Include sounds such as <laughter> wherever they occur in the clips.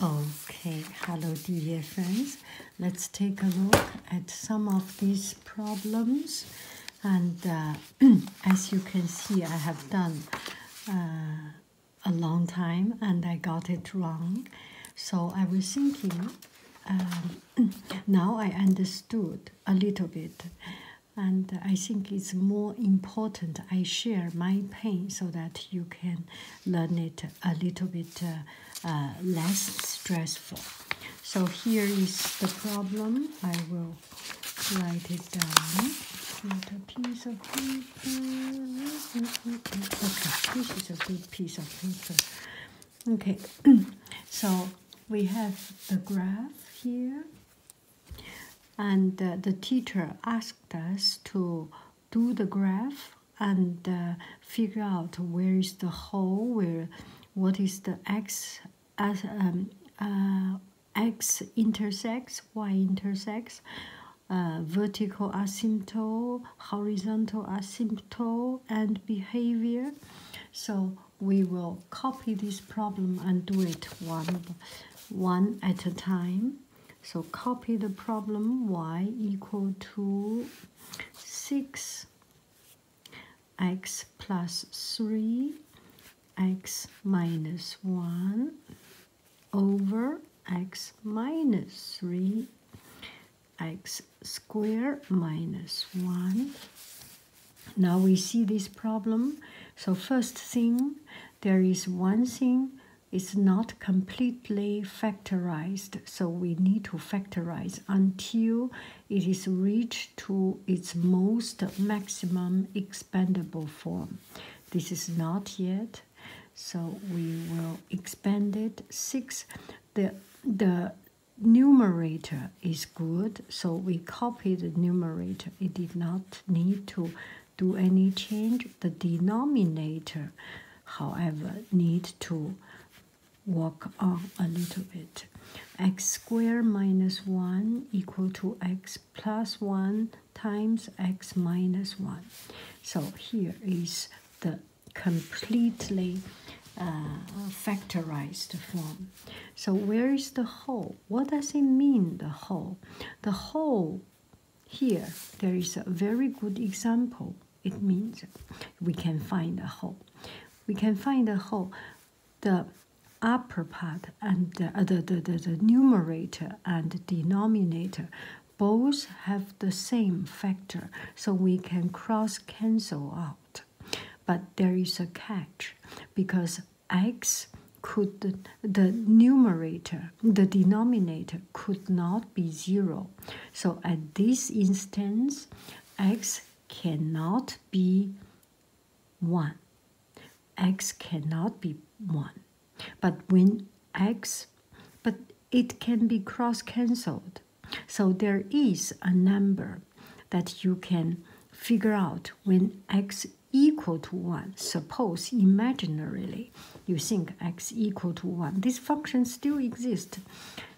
Okay, hello dear friends. Let's take a look at some of these problems. And uh, <clears throat> as you can see, I have done uh, a long time and I got it wrong. So I was thinking, um, <clears throat> now I understood a little bit. And I think it's more important I share my pain so that you can learn it a little bit uh, uh, less stressful. So here is the problem. I will write it down. Put a piece of paper. Okay, this is a good piece of paper. Okay, <clears throat> so we have the graph here, and uh, the teacher asked us to do the graph and uh, figure out where is the hole, where what is the x as um, uh, x intersects, y intersects, uh, vertical asymptote, horizontal asymptote, and behavior. So we will copy this problem and do it one, one at a time. So copy the problem y equal to 6 x plus 3 x minus 1 over x minus 3 x squared minus 1. Now we see this problem. So first thing, there is one thing is not completely factorized, so we need to factorize until it is reached to its most maximum expandable form. This is not yet, so we will expand it. Six, the, the numerator is good, so we copy the numerator. It did not need to do any change, the denominator, however, need to work on a little bit. x squared minus 1 equal to x plus 1 times x minus 1. So here is the completely uh, factorized form. So where is the whole? What does it mean, the whole? The whole here, there is a very good example. It means we can find a hole. We can find a hole. The upper part and uh, the, the, the, the numerator and denominator both have the same factor, so we can cross cancel out. But there is a catch because x could the numerator, the denominator could not be zero. So at this instance, x cannot be 1. x cannot be 1. But when x, but it can be cross cancelled. So there is a number that you can figure out when x equal to 1, suppose imaginarily you think x equal to 1. This function still exists.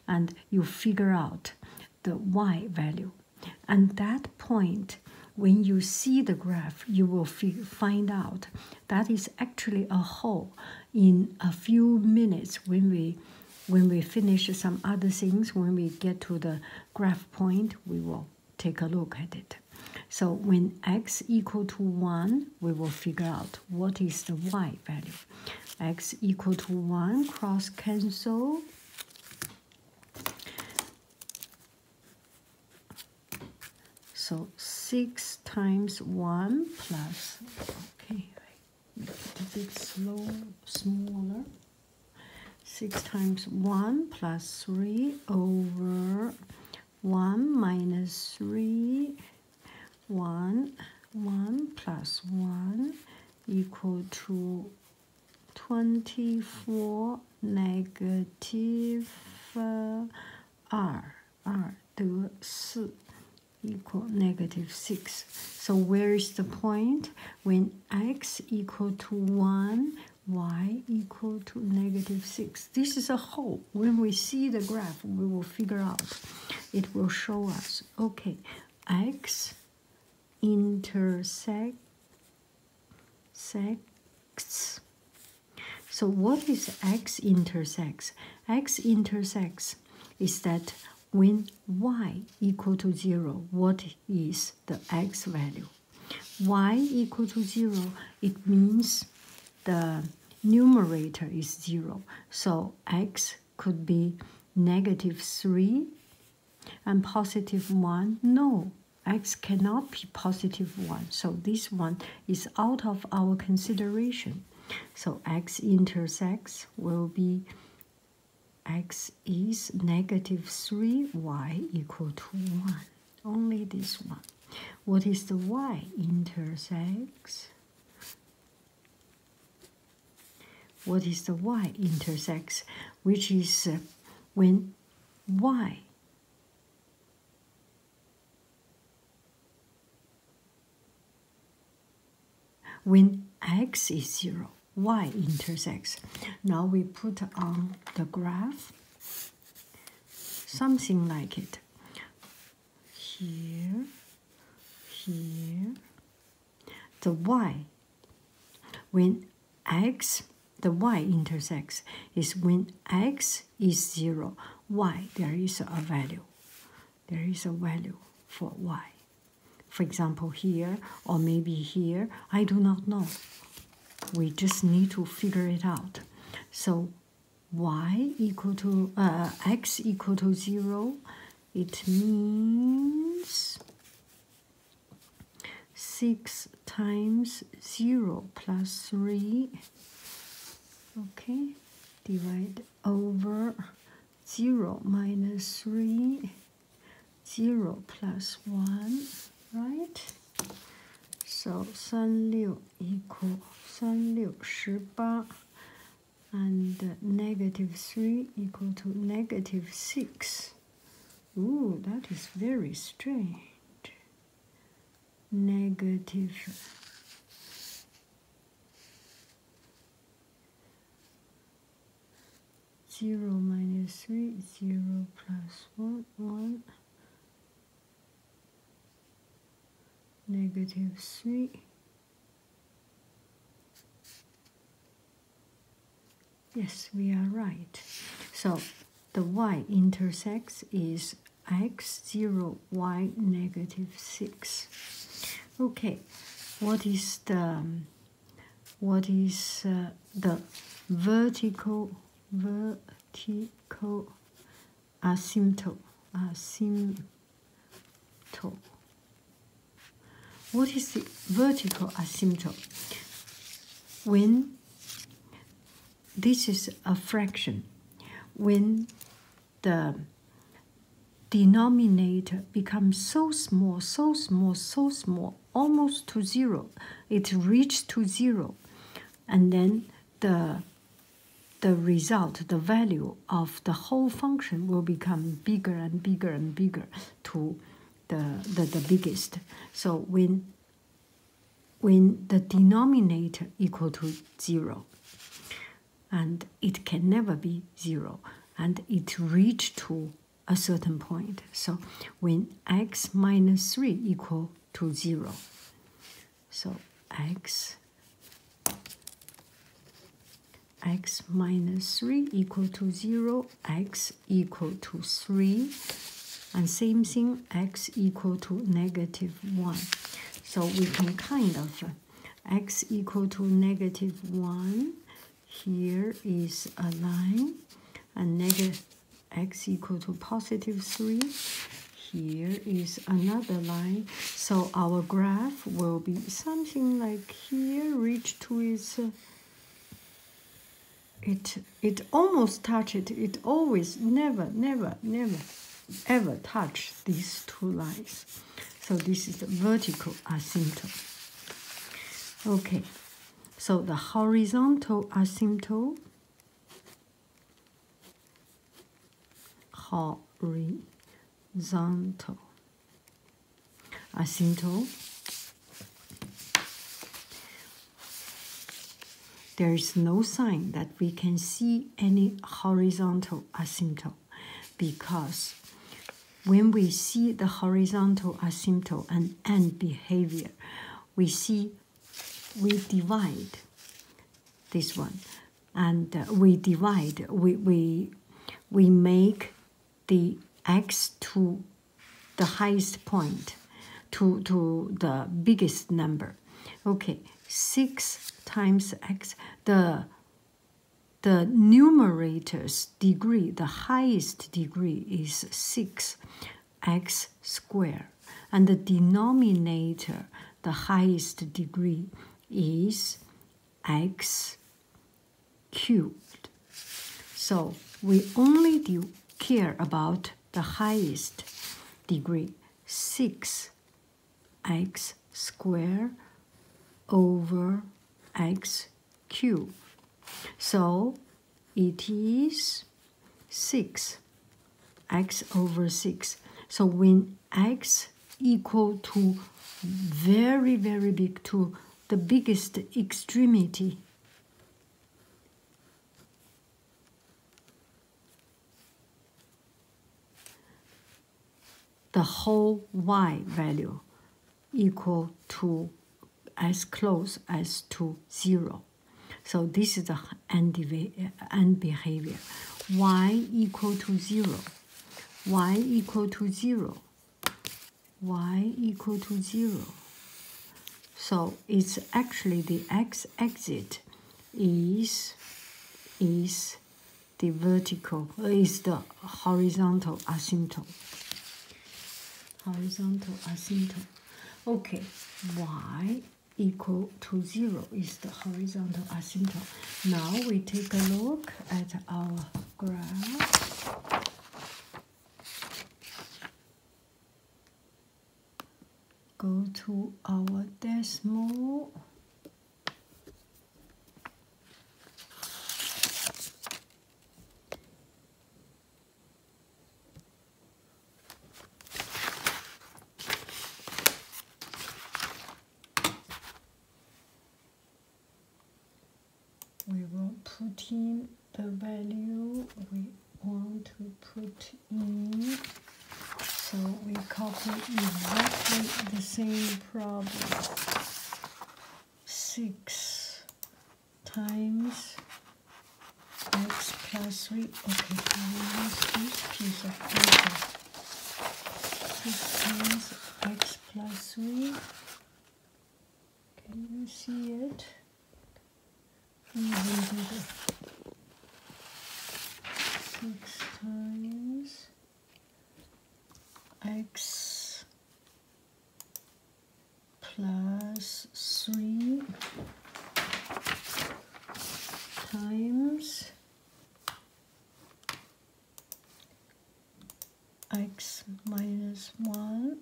And you figure out the y value. And that point, when you see the graph, you will find out that is actually a hole in a few minutes when we when we finish some other things, when we get to the graph point, we will take a look at it. So when x equal to 1, we will figure out what is the y value. x equal to 1 cross cancel. So 6 times 1 plus, okay, make it slow, smaller. 6 times 1 plus 3 over 1 minus 3, 1, 1 plus 1 equal to 24 negative uh, r, r 得4 equal negative 6. So where is the point? When x equal to 1, y equal to negative 6. This is a hole when we see the graph, we will figure out, it will show us, okay, x intersects Sex. So what is x intersects? x intersects is that when y equal to 0, what is the x value? y equal to 0, it means the numerator is 0. So x could be negative 3 and positive 1. No, x cannot be positive 1. So this one is out of our consideration. So x intersects will be x is negative 3y equal to 1. Only this one. What is the y intersects? What is the y intersects, which is uh, when y when x is 0 y intersects now we put on the graph something like it here, here. The y, when x, the y intersects, is when x is 0, y, there is a value. There is a value for y. For example, here or maybe here, I do not know. We just need to figure it out. So y equal to uh, x equal to 0 it means 6 times 0 plus 3 okay divide over 0 minus 3 0 plus 1 right so 三六 equal 三六十八 and negative 3 equal to negative 6. Ooh, that is very strange. Negative. Zero minus three, zero plus one, one, negative 3 yes we are right so the y intercept is x 0 y negative 6 okay what is the what is uh, the vertical vertical Asymptote, asymptote. What is the vertical asymptote? When this is a fraction, when the denominator becomes so small, so small, so small, almost to zero, it reaches to zero, and then the the result, the value of the whole function will become bigger and bigger and bigger to the, the, the biggest. So when, when the denominator equal to zero, and it can never be zero, and it reach to a certain point. So when x minus 3 equal to zero, so x x minus 3 equal to 0, x equal to 3, and same thing, x equal to negative 1. So we can kind of, x equal to negative 1, here is a line, and negative x equal to positive 3, here is another line so our graph will be something like here reach to its uh, it it almost touch it it always never never never ever touch these two lines so this is the vertical asymptote okay so the horizontal asymptote horizontal, asymptotal. There is no sign that we can see any horizontal asymptote, because when we see the horizontal asymptote and end behavior, we see we divide this one and uh, we divide, we, we, we make the x to the highest point, to, to the biggest number. Okay, 6 times x, the the numerator's degree, the highest degree is 6x squared, and the denominator, the highest degree is x cubed. So we only do care about the highest degree, 6x squared over x cubed. So it is 6, x over 6. So when x equal to very, very big to the biggest extremity. The whole y value equal to as close as to zero. So this is the end behavior. y equal to zero y equal to 0 y equal to 0 so it's actually the x exit is is the vertical is the horizontal asymptote horizontal asymptote okay y equal to 0 is the horizontal asymptote. Now we take a look at our graph. Go to our decimal we will put in the value we want to put in so we copy exactly the same problem 6 times x plus 3 okay Six times x plus three. Can you see it? Six times x plus three times x minus 1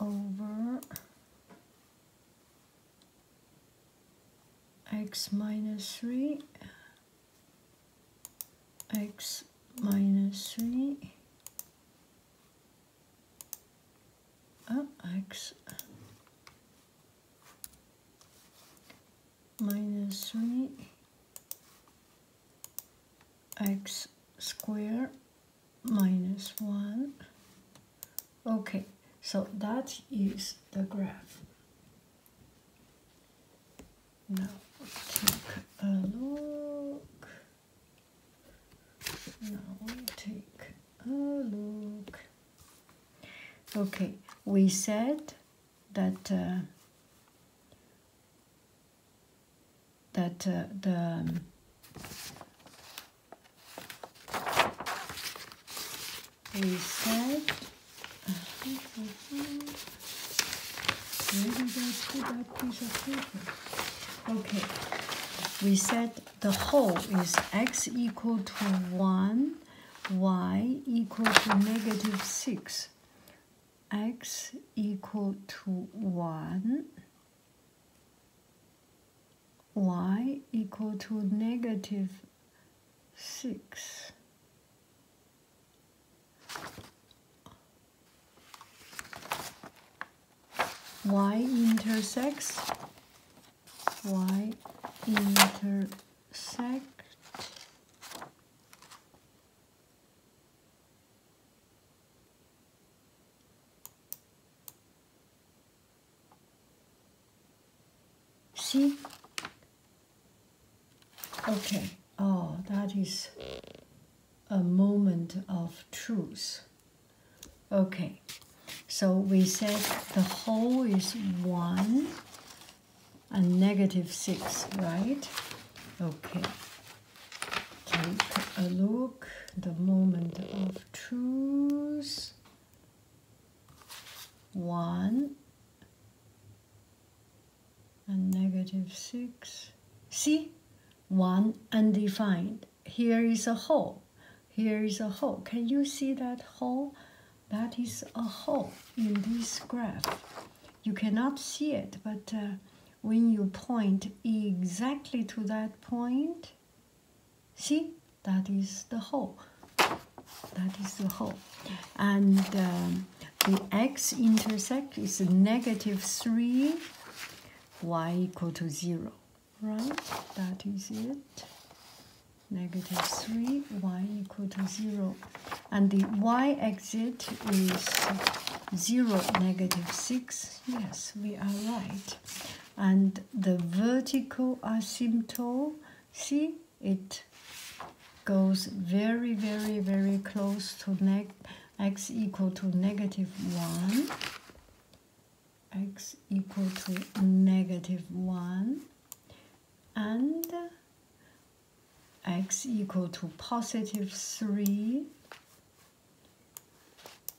over x minus 3 x minus 3 oh, x minus 3 x squared minus minus 1 okay so that is the graph now take a look now take a look okay we said that uh, that uh, the um, we said uh, Okay, we said the whole is x equal to 1 y equals to negative 6, x equal to 1, y equal to negative 6. y intersects y intersects sect see okay oh that is a moment of truth okay so we said the whole is one a 6, right? Okay. Take a look. The moment of truth. 1 and negative 6. See? 1 undefined. Here is a hole. Here is a hole. Can you see that hole? that is a hole in this graph. You cannot see it, but uh, when you point exactly to that point, see, that is the hole. That is the hole. And um, the x intercept is negative 3, y equal to 0, right? That is it negative 3, y equal to 0. And the y exit is 0, negative 6. Yes, we are right. And the vertical asymptote, see, it goes very, very, very close to x equal to negative 1. x equal to negative 1. And x equal to positive 3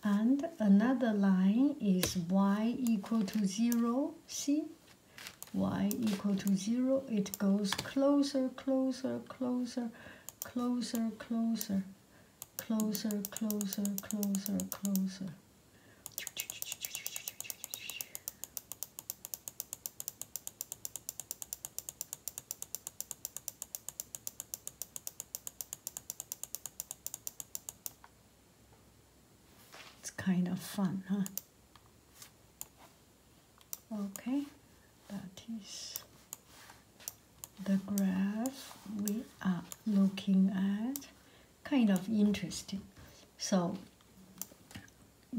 and another line is y equal to 0 see y equal to 0 it goes closer closer closer closer closer closer closer closer closer it's kind of fun, huh? Okay, that is the graph we are looking at. Kind of interesting. So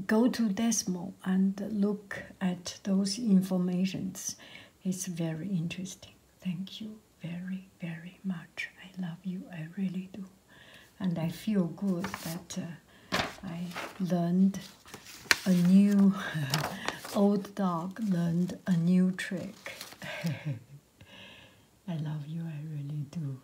go to Desmo and look at those informations. It's very interesting. Thank you very, very much. I love you. I really do. And I feel good that uh, I learned a new, <laughs> old dog learned a new trick. <laughs> I love you. I really do.